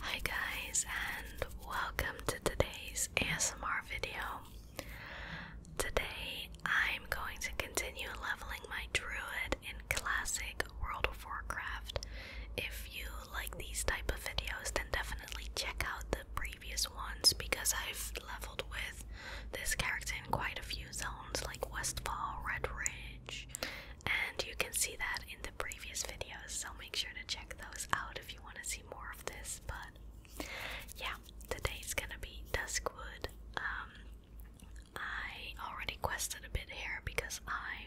Hi guys and welcome to today's ASMR video. Today I'm going to continue leveling my druid in classic World of Warcraft. If you like these type of videos then definitely check out the previous ones because I've leveled with this character in quite a few zones like Westfall, Red Ridge and you can see that in the previous videos, so make sure to check those out if you want to see more of this. But yeah, today's gonna be Duskwood. Um, I already quested a bit here because I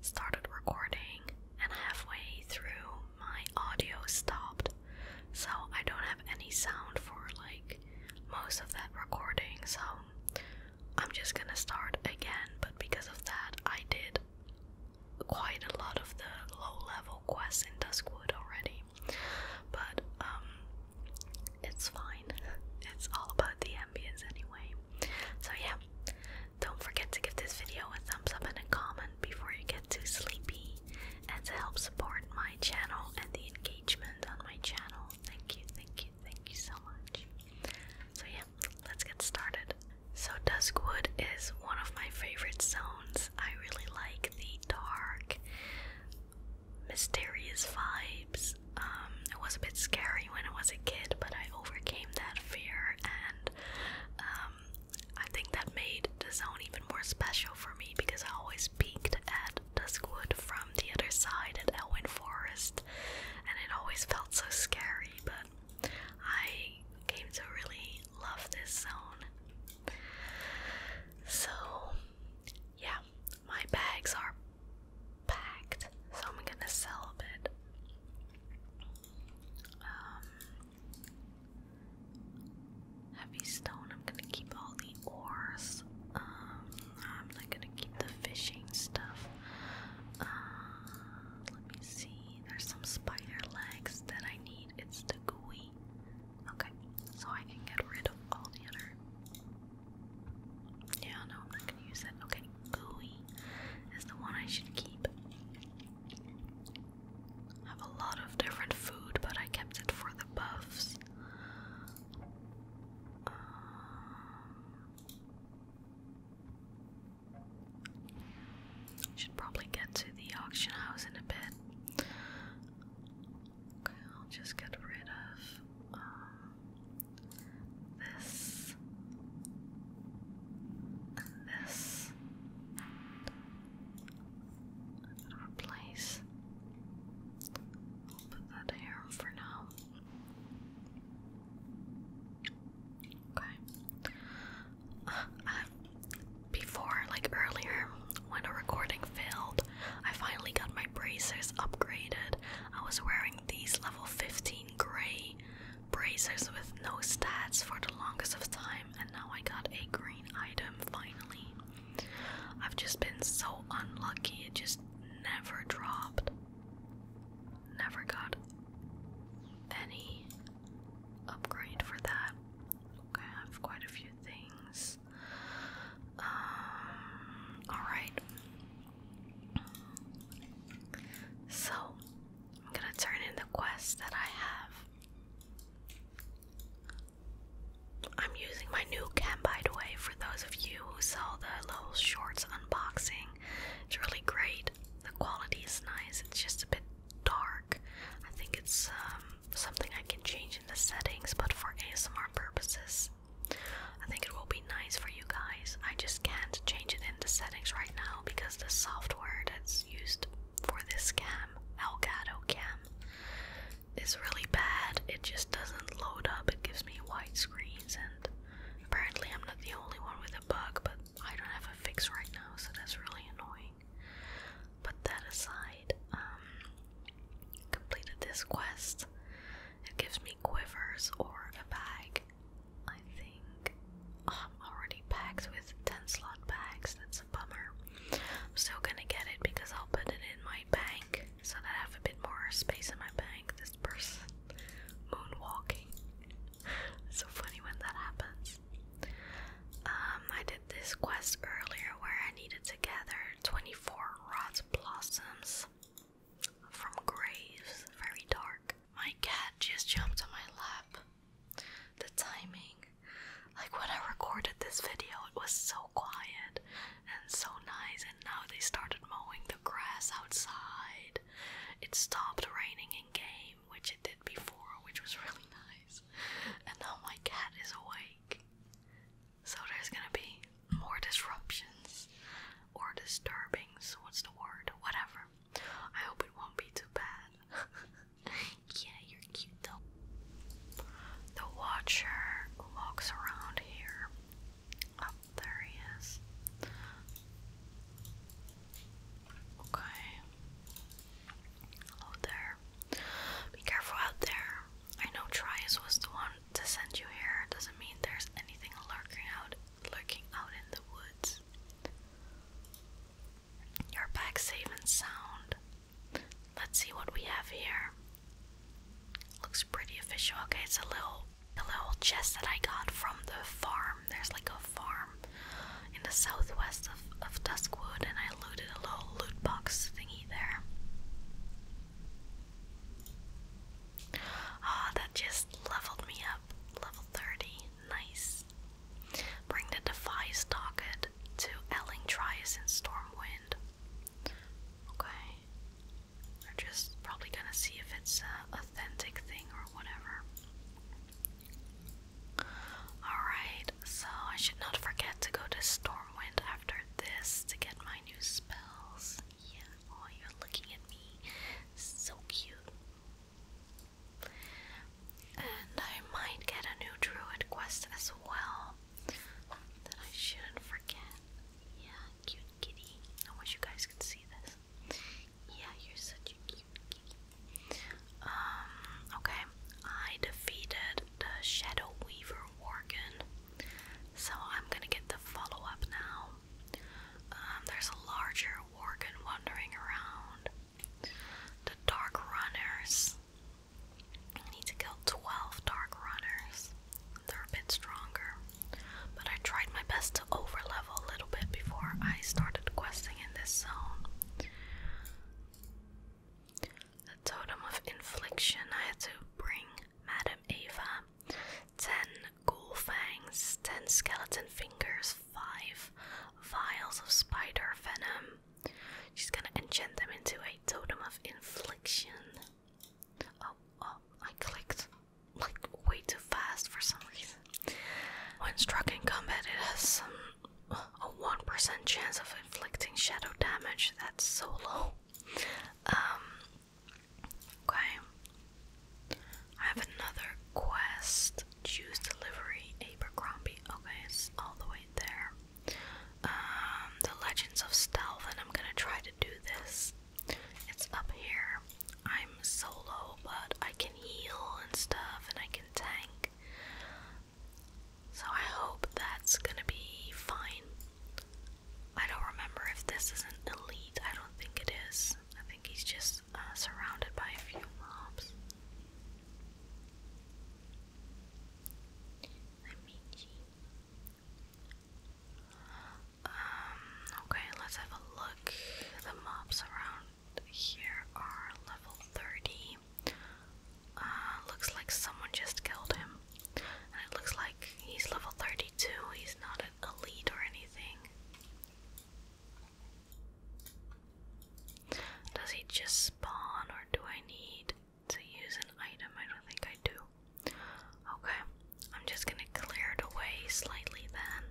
started recording and halfway through my audio stopped, so I don't have any sound for like most of that recording. So I'm just gonna start again, but because of that, I did quite a lot of the low level quests in Duskwood already. But, um, it's fine. It's all about the ambience anyway. So, yeah, don't forget to give this video a thumbs up and a comment before you get too sleepy and to help support my channel and the engagement on my channel. Thank you, thank you, thank you so much. So yeah, let's get started. So Duskwood is one of my favorite zones. I really like the dark, mysterious vibes. Um, it was a bit scary when I was a kid, but I overcame that fear, and um, I think that made the zone even more special for me because I always peeked at Duskwood from the other side at Elwyn Forest, and it always felt so scary, but I came to really love this zone. So, yeah, my bags are packed, so I'm gonna sell a bit. Um, heavy stone, I'm gonna keep all the ores. Um, I'm not gonna keep the fishing stuff. Uh, let me see. There's some spider legs that I need. It's the gooey. Okay, so I can get rid of all the other. Yeah, no, I'm not gonna use that. Okay, gooey is the one I should keep. I have a lot of different food, but I kept it for the buffs. Um, should probably get to the auction house in a bit. Okay, I'll just get rid of um, this and this. replace. I'll put that here for now. Okay. Uh, before, like earlier, when the recording failed, I finally got my bracers upgraded. I was wearing these level 15 gray bracers with no stats for the longest of time, and now I got a green item finally. I've just been so unlucky, it just never dropped, never got any upgrade for that. Okay, I have quite a few things. Um, alright. So, I'm gonna turn in the quest that I have. I'm using my new cam, way, for those those of you saw the Little Shorts unboxing. It's really great. The quality is nice. It's just a bit dark. I think it's um, something I can change in the settings, but for ASMR purposes, I think it will be nice for you guys. I just can't change it in the settings right now because the software that's used for this cam, Elgato Cam, is really bad. It just doesn't load up. It gives me screen and apparently I'm not the only one with a bug but I don't have a fix right now so that's really annoying. But that aside, um completed this quest. It gives me quivers or a bag. I think oh, I'm already packed with 10 slot bags, that's a bummer. I'm still gonna get it because I'll put it in my bank so I have a bit more space in my bank. This person moonwalking. it's so funny when that happens. Um, I did this quest earlier where I needed to gather 24 rot blossoms from graves, very dark. My cat just jumped on my lap. The timing. Like when I recorded this video, it was so quiet, and so nice. And now they started mowing the grass outside. It stopped raining in game, which it did before, which was really nice. And now my cat is awake. So there's gonna be more disruptions or disturbings. What's the word? Whatever. I hope it won't be too bad. yeah, you're cute though. The Watcher walks around here Oh, there he is. Okay. Hello there. Be careful out there. I know Trias was the one to send you here. Doesn't mean there's anything lurking out lurking out in the woods. You're back safe and sound. Let's see what we have here. Looks pretty official. Okay, it's a little a little chest that I got from the farm. There's like a farm in the southwest of, of Duskwood and I looted a little loot box thingy there. Ah, that just leveled me up. Level 30. Nice. Bring the Defies Docket to Elling in Stormwind. Okay. They're just probably gonna see if it's a authentic thing or whatever. Alright, so I should not forget to go to Stormwind after this to get my new spells. Yeah, oh, you're looking at me. So cute. And I might get a new druid quest as well that I shouldn't forget. Yeah, cute kitty. I wish you guys could see this. Yeah, you're such a cute kitty. Um, okay. I defeated the Shadow Weaver Worgen. So I'm gonna get the follow-up now. Um, there's a larger Worgen wandering around. The Dark Runners. I need to kill 12 Dark Runners. They're a bit stronger. But I tried my best to overlevel a little bit before I started questing in this zone. The Totem of Infliction I had to bring Madam Ava. Ten ghoul fangs, ten skeleton fingers, five vials of spider venom. She's gonna enchant them into a totem of infliction. Oh, oh, I clicked like way too fast for some reason. When struck in combat, it has some a 1% chance of inflicting shadow damage. That's so low. Um, okay. I have another quest. Choose delivery, Abercrombie. Okay, it's all the way there. Um, the Legends of Stealth, and I'm gonna try do this. It's up here. I'm solo, but I can heal and stuff, and I can tank. So I hope that's gonna be fine. I don't remember if this is an elite. I don't think it is. I think he's just uh, surrounded by a few mobs. Let me um, okay, let's have a look. The mobs around here are level 30. Uh, looks like someone just killed him. it looks like he's level 32, he's not an elite or anything. Does he just spawn or do I need to use an item. I don't think I do. Okay, I'm just gonna clear it away slightly then.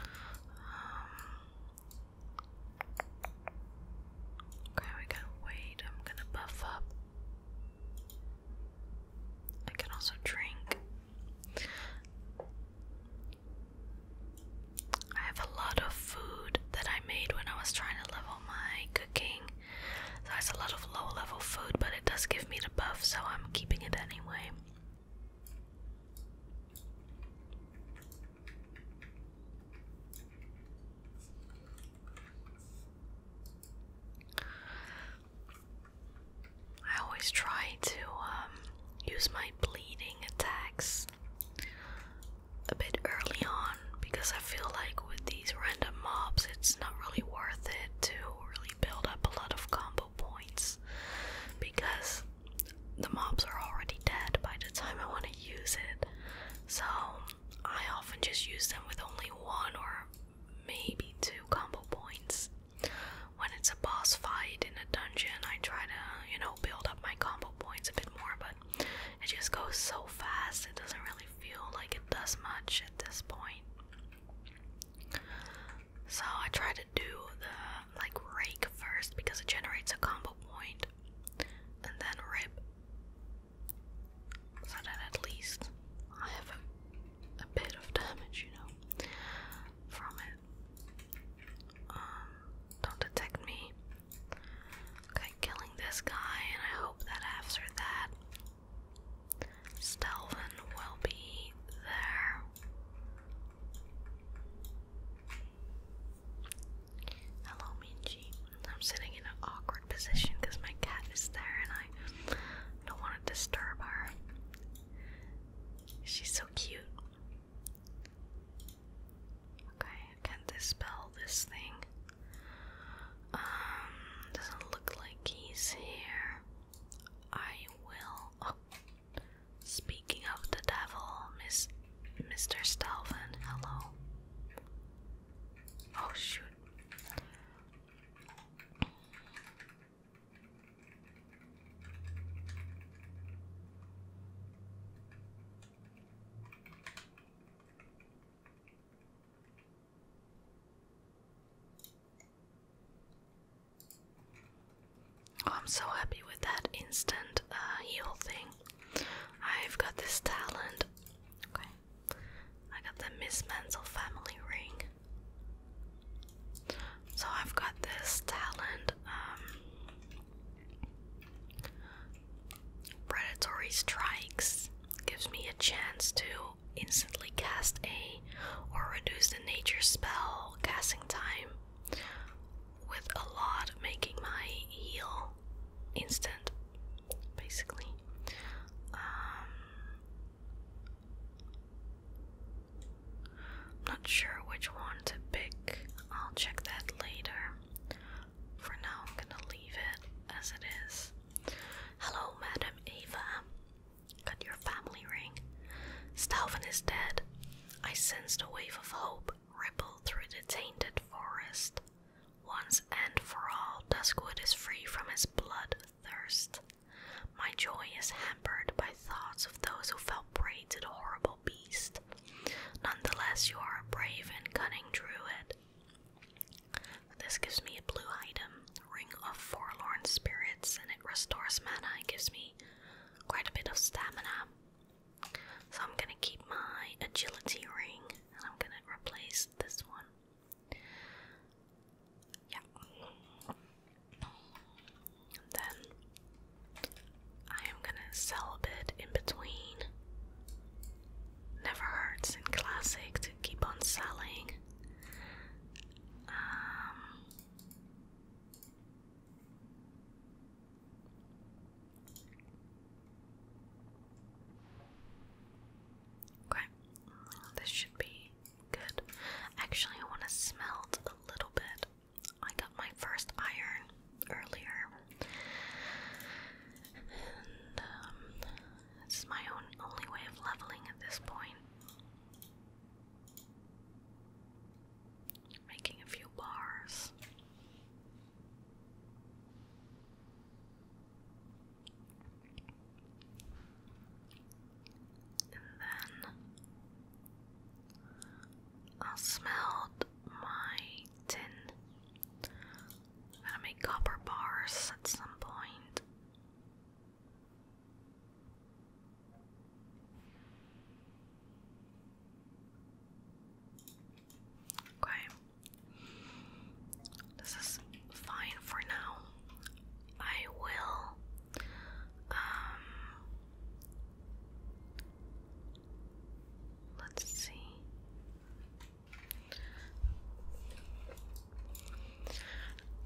Um, okay, we got weight. I'm gonna buff up I can also drink. I have a lot of food that I made when I was trying to level my cooking. So it's a lot of low level food, but it does give me the buff, so I'm keeping it anyway. I always try to um, use my bleeding attacks a bit early on because I feel like with these random mobs, it's not really worth it to really build up a lot of combo points because the mobs are already dead by the time I want to use it. So I often just use them with only one or maybe two combo points. When it's a boss fight in a dungeon, I try to, you know, build up my combo points a bit more, but it just goes so fast, it doesn't really feel like it does much at this point. So I try to do the like rake first because it generates a combo point, and then rip. So then at least I have a, bit of damage, you know, from it. Um, don't detect me. Okay, killing this guy, and I hope that after that, Stelvin will be there. Hello, Minji. I'm sitting in an awkward position because my cat is there and I don't want to disturb her. She's so cute. Okay, I can't dispel this thing. Um, doesn't look like he's here. I will. Oh, speaking of the devil, Miss Mr. Stalvin, hello. Oh shoot. Oh, I'm so happy with that instant uh, heal thing. I've got this talent. Okay. I got the Miss Mansell family ring. So I've got this talent, um, predatory strikes gives me a chance to instantly cast a or reduce the nature spell casting time with a lot, making my heal instant basically. i um, not sure which one to pick. I'll check that later. For now, I'm gonna leave it as it is. Hello, Madam Eva. Got your family ring. Stalvin is dead. I sensed a wave of hope ripple through the tainted forest. Once and for all, Duskwood is free from his blood thirst. My joy is hampered by thoughts of those who fell prey to the horrible beast. Nonetheless, you are a brave and cunning druid. This gives me a blue item, Ring of Forlorn Spirits, and it restores mana and gives me quite a bit of stamina. So I'm gonna keep my agility ring and I'm gonna replace this one. Yeah. then I am gonna sell a bit in between. Never hurts in classic to keep on selling. Um, Okay, this should be good. Actually, I want to smelt a little bit. I got my first iron earlier, and um, this is my own only way of leveling at this point. Making a few bars. And then I smelled my tin. i make copper bars at some point. Okay. This is fine for now. I will um let's see.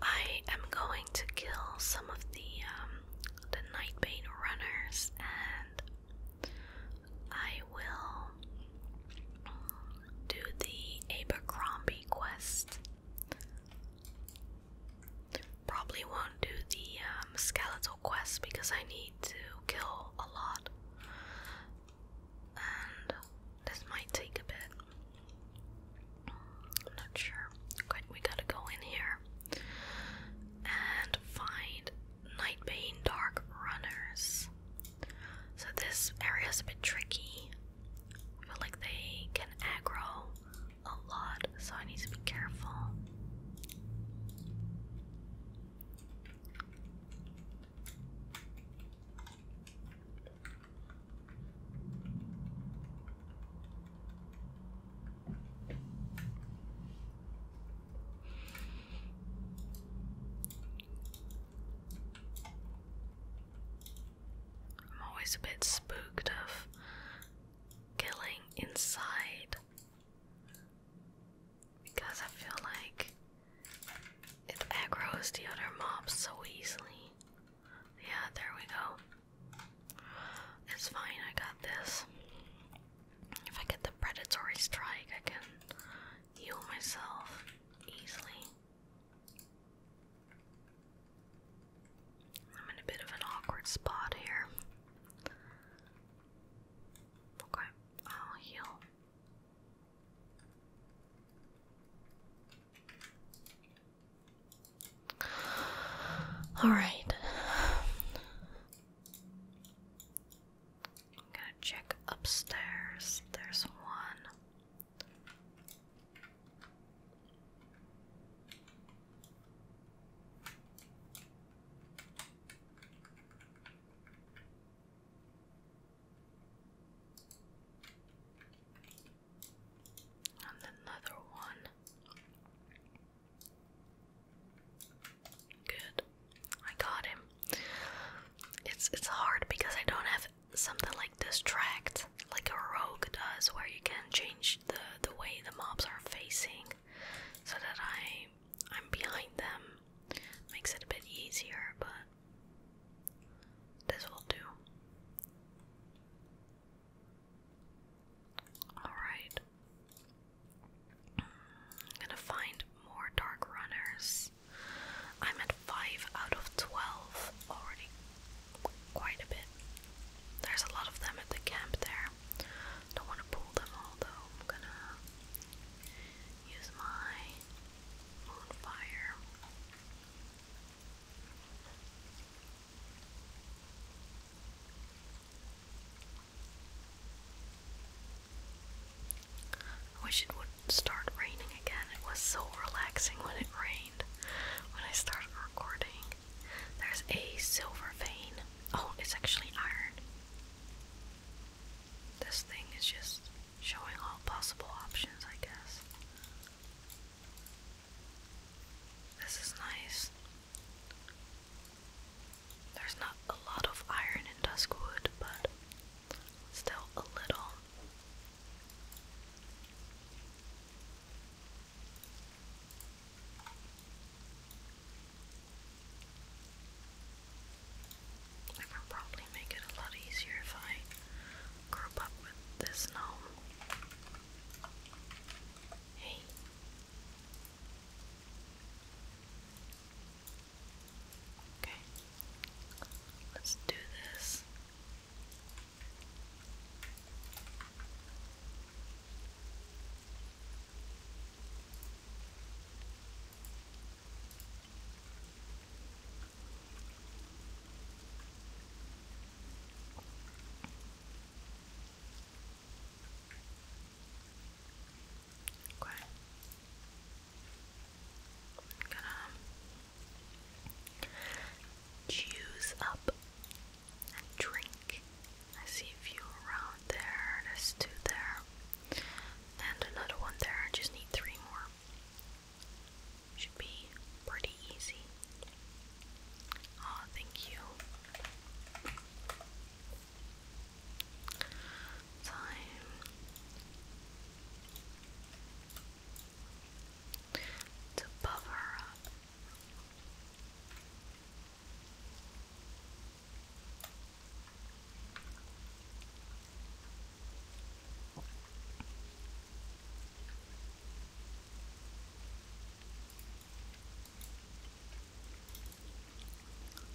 I am going to kill some of the um the nightbane runners and I will do the Abercrombie quest. Probably won't do the um, skeletal quest because I need to kill a lot. And this might take a bit. I'm not sure. Okay, we gotta go in here and find Nightbane Dark Runners. So this area is a bit tricky. I feel like they can aggro a lot, so I need to be careful. I'm always a bit spooked of killing inside because I feel like it aggroes the other mobs so easily. Yeah, there we go. It's fine, I got this. If I get the predatory strike, I can heal myself easily. I'm in a bit of an awkward spot here. Okay, I'll heal. All right. I'm gonna check upstairs. There's one. And another one. Good. I got him. It's it's hard because I don't have something like distract like a rogue does where you can change the the way the mobs are facing so that I I'm behind them. Makes it a bit easier, but this will do. Alright. I'm gonna find more dark runners. I'm at 5 out of 12 already. Quite a bit. There's a lot of them at the camp there. Don't want to pull them all though. I'm gonna use my moonfire. I wish it would start raining again. It was so relaxing when it rained. When I started recording, there's a silver vein. Oh, it's actually iron. This thing is just showing all possible options, I guess. This is nice. There's not a lot of iron in Duskwood, but still a little. I can probably make it a lot easier if I group up with this gnome. Hey. Okay, let's do this. Okay. I'm gonna juice up and drink. I see a few around there. There's two there. And another one there. I just need three more. Should be pretty easy. Oh, thank you time to buffer up.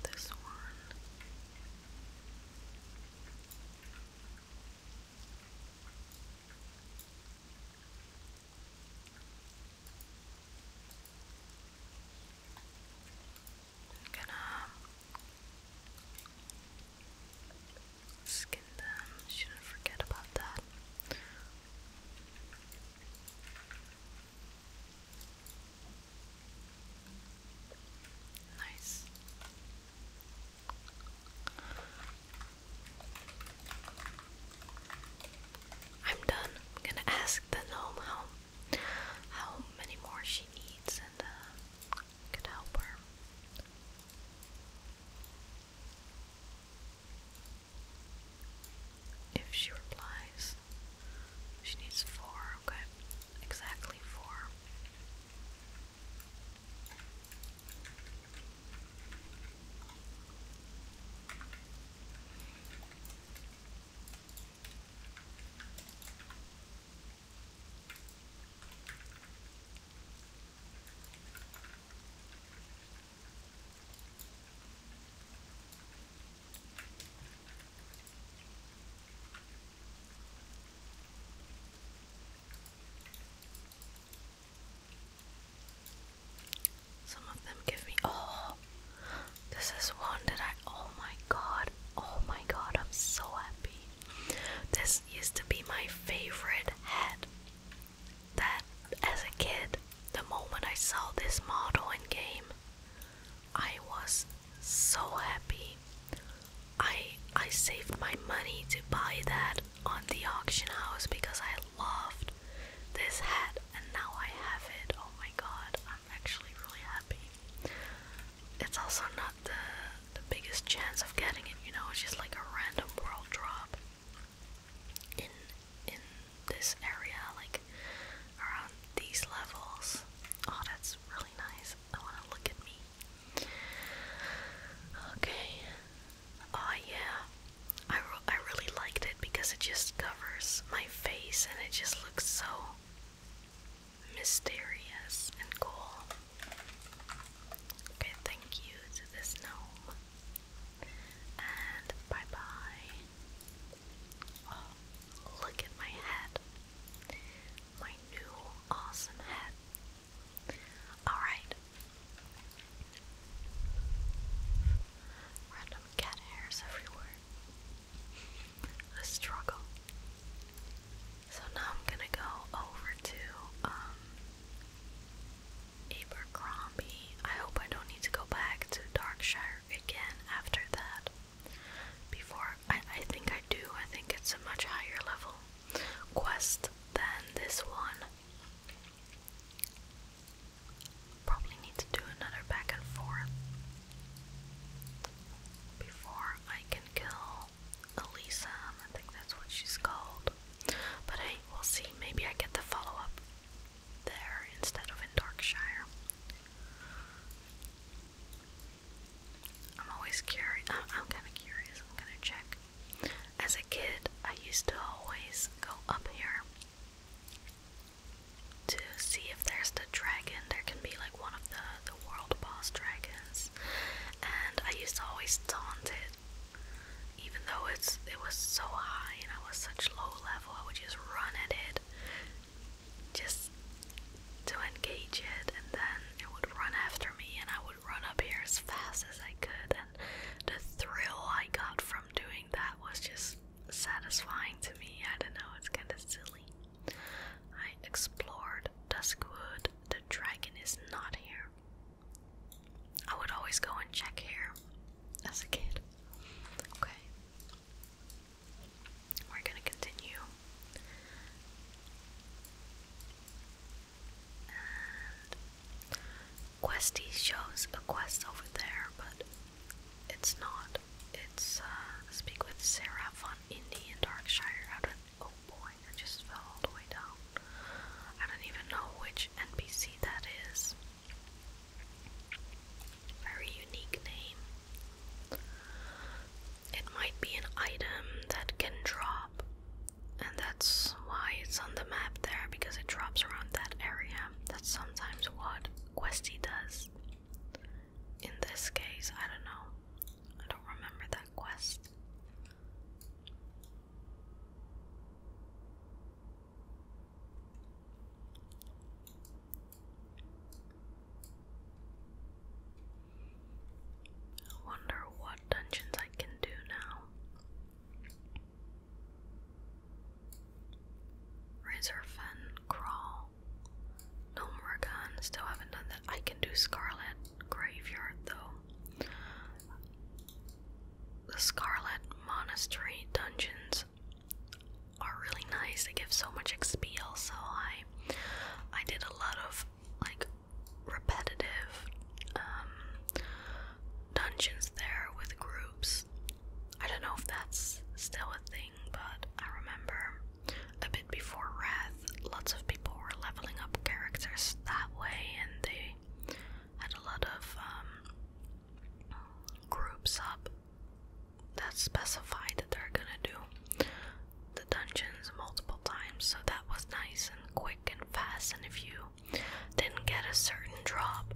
This one. gonna skin them, shouldn't forget about that. Nice. I'm done. I'm gonna ask the gnome how how many more she needs and uh, could help her. If she replies. She needs four, okay. Exactly four. Some of them give me. Oh, this is one that I. Oh my god. Oh my god. I'm so happy. This used to be my favorite hat. That as a kid, the moment I saw this model in game, I was so happy. I I saved my money to buy that on the auction house because I loved this hat and now I have it. Oh my god, I'm actually really happy. It's also not the the biggest chance of getting it, you know, it's just like a random world drop in in this area, like around these levels. Oh, that's really nice. I want to look at me. Okay. Oh yeah. I I really liked it because it just covers my face and it just looks so mysterious and cool. Okay, thank you to this gnome. And bye bye look at my head. My new awesome head. Alright. Random cat hairs everywhere. A struggle. So now I'm gonna go over to um, Abercrombie. I hope I don't need to go back to Darkshire again after that before. I, I think I do. I think it's a much higher level quest than this one. Probably need to do another back and forth before I can kill Elisa. I think that's what she's called. But hey, we'll see. Maybe I get the follow up there instead of in Darkshire. I'm always curious. Uh, I'm, kind of curious. I'm gonna check. As a kid, I used to always go up here to see if there's the dragon. There can be like one of the the world boss dragons, and I used to always taunt it. Even though it's it was so high and I was such low level, I would just run at it just to engage it, and then it would run after me, and I would run up here as fast as I could. And the thrill I got from doing that was just satisfying to me. I don't know, it's kind of silly. I explored Duskwood. The dragon is not here. I would always go and check here as a kid. Okay. We're going to continue. Questy shows a quest over there, but it's not. It's uh, Speak with Sarah von Indy in Darkshire. I don't, oh boy, I just fell all the way down. I don't even know which NPC that is. Very unique name. It might be an item that can drop, and that's why it's on the map there because it drops around that area. That's sometimes what Questy does. In this case, I don't know. I don't remember that quest. I wonder what dungeons I can do now. Razor Crawl, No still haven't done that. I can do Scarlet Graveyard though. The Scarlet Monastery Dungeons are really nice. They give so much XP also. I I did a lot of like repetitive um, dungeons there with groups. I don't know if that's still a thing, but I remember a bit before Wrath, lots of people were leveling up characters that way and they had a lot of um, groups up that's specified that they're gonna do the dungeons multiple times, so that was nice and quick and fast. And if you didn't get a certain drop,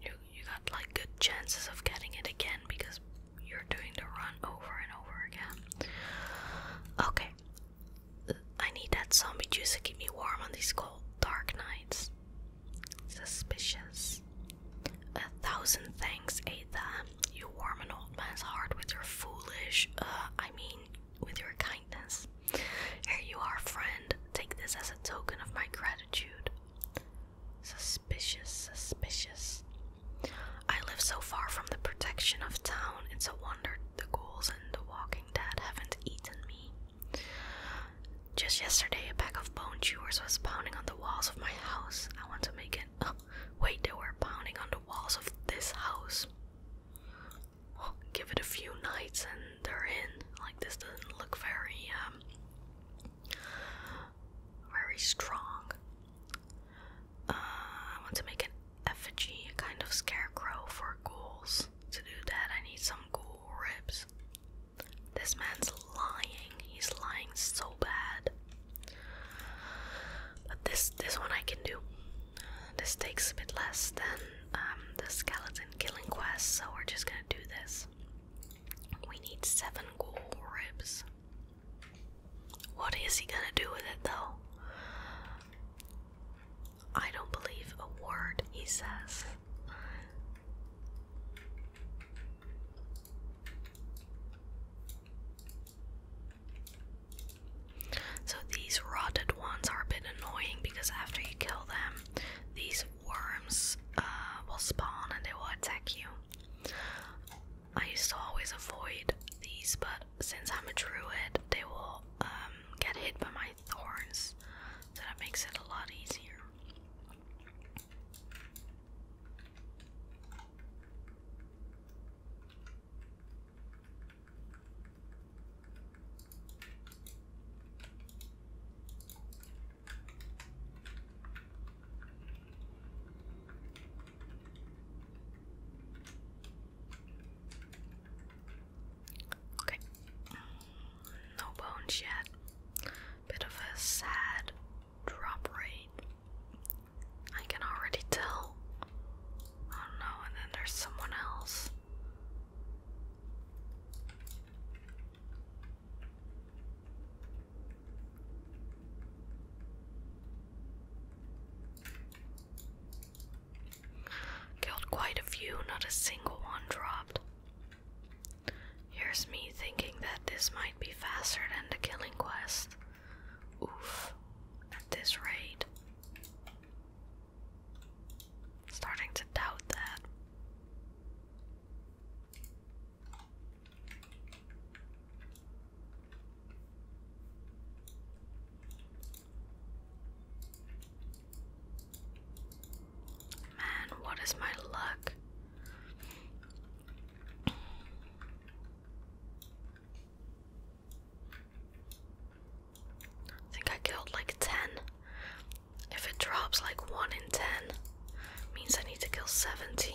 you you got like good chances of getting it again because you're doing the run over and over again. Okay. I need that zombie juice to keep me warm on these cold, dark nights. Suspicious. A thousand thanks, Ada. You warm an old man's heart with your foolish, uh, I mean, with your kindness. Here you are, friend. Take this as a token of my gratitude. Suspicious, suspicious. I live so far from the protection of town, it's a wonder the ghouls and the walking dead haven't eaten me. Just yesterday, a pack of bone chewers was pounding on the walls of my house. I want to make it. Oh, wait, they were pounding on the walls of this house. give it a few nights and they're in. Like, this doesn't look very, um, very strong. Uh, I want to make an effigy, a kind of scarecrow for ghouls. To do that, I need some ghoul ribs. This man's lying. He's lying so bad. But this this one I can do. This takes a bit less than um, the skeleton killing quest, so we're just gonna do this. We need seven gold ribs. What is he gonna do with it though? I don't believe a word he says. So these rotted ones are a bit annoying because after you kill them, these worms uh, will spawn and they will attack you. I used to always avoid these, but since I'm a druid, they will um, get hit by my thorns, so that makes it a lot easier. Okay. No bones yet bit of a sad drop rate. I can already tell. Oh no, and then there's someone else. Killed quite a few, not a single one dropped. Here's me thinking that this might be faster than the killing quest. Oof, at this rate. Starting to doubt that. Man, what is my luck? I think I killed like 10. If it drops like 1 in 10, means I need to kill 70.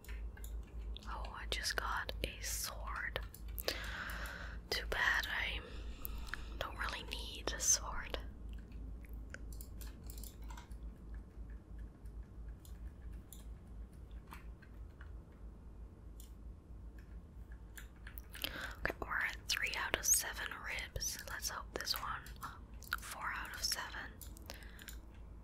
Oh, I just got a sword. Too bad I don't really need a sword. Okay, we're at three out of seven ribs. Let's hope this one, four out of seven.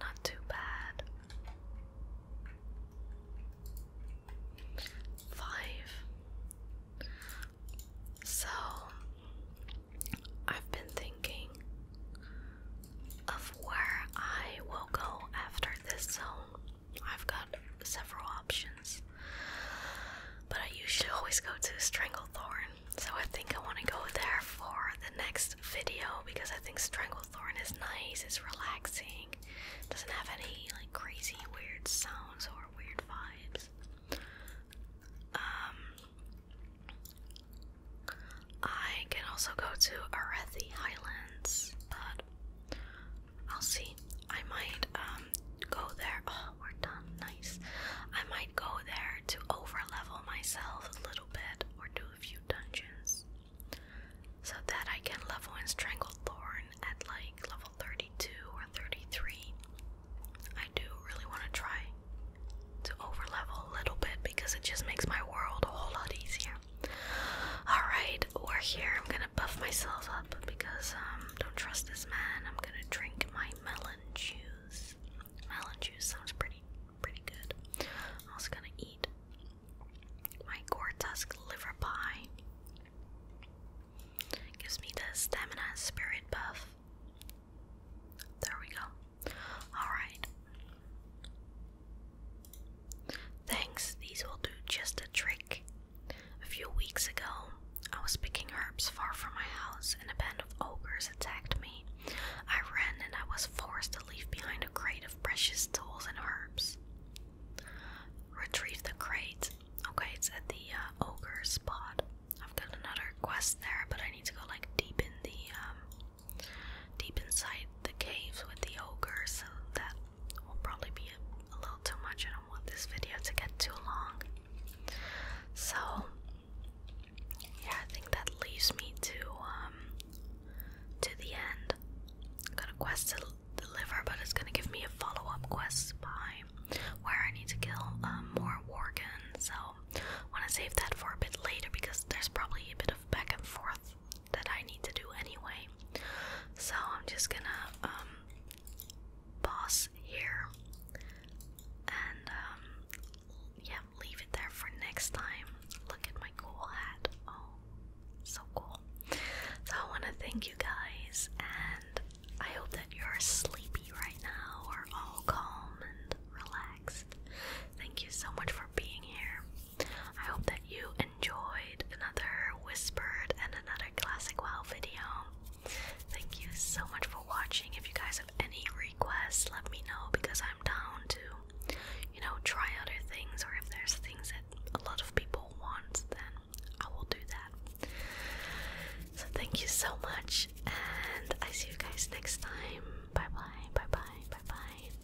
Not too bad. Five. So, I've been thinking of where I will go after this zone. I've got several options, but I usually always go to Stranglethorn so I think I want to go there for the next video because I think Stranglethorn is nice, it's relaxing, doesn't have any like crazy weird sounds or weird vibes. Um, I can also go to Arethi Highlands, but I'll see. I might um, go there we're done. Nice. I might go there to overlevel myself a little bit or do a few dungeons so that I can level strangle Thorn at like level 32 or 33. I do really want to try to overlevel a little bit because it just makes my world a whole lot easier. Alright, we're here. I'm gonna buff myself up because um don't trust this man. I'm gonna drink my melon juice. Melon juice sounds pretty pretty good. also gonna eat my gore liver pie. gives me the stamina spirit buff. There we go. Alright. Thanks, these will do just a trick. A few weeks ago, I was picking herbs far from my house and a band of ogres attacked me. I ran and I was forced to leave behind a crate of precious tools and herbs. Retrieve the crate. Okay, it's at the uh, ogre spot. I've got another quest there, but I need to go like deep in the um, deep inside the caves with the ogre, so that will probably be a little too much. I don't want this video to get too long. So yeah, I think that leaves me to um to the end. I've got a quest to deliver, but it's gonna give me a follow-up quest by where I need to kill um, more Worgen. So I wanna save that for a bit later because there's probably a bit of back and forth that I need to do anyway. So I'm just gonna um pause here and um, yeah, leave it there for next time. Look at my cool hat. Oh, so cool. So I want to thank you guys, and I hope that you're sleepy right now or all calm and relaxed. Thank you so much for being here. I hope that you enjoyed another Whispered and another Classic well video. Thank you so much for watching. If you guys have any requests, let me know because I'm down to, you know, try other things or if there's things that a lot of people want, then I will do that. So thank you so much and I see you guys next time. Bye bye, bye bye, bye bye.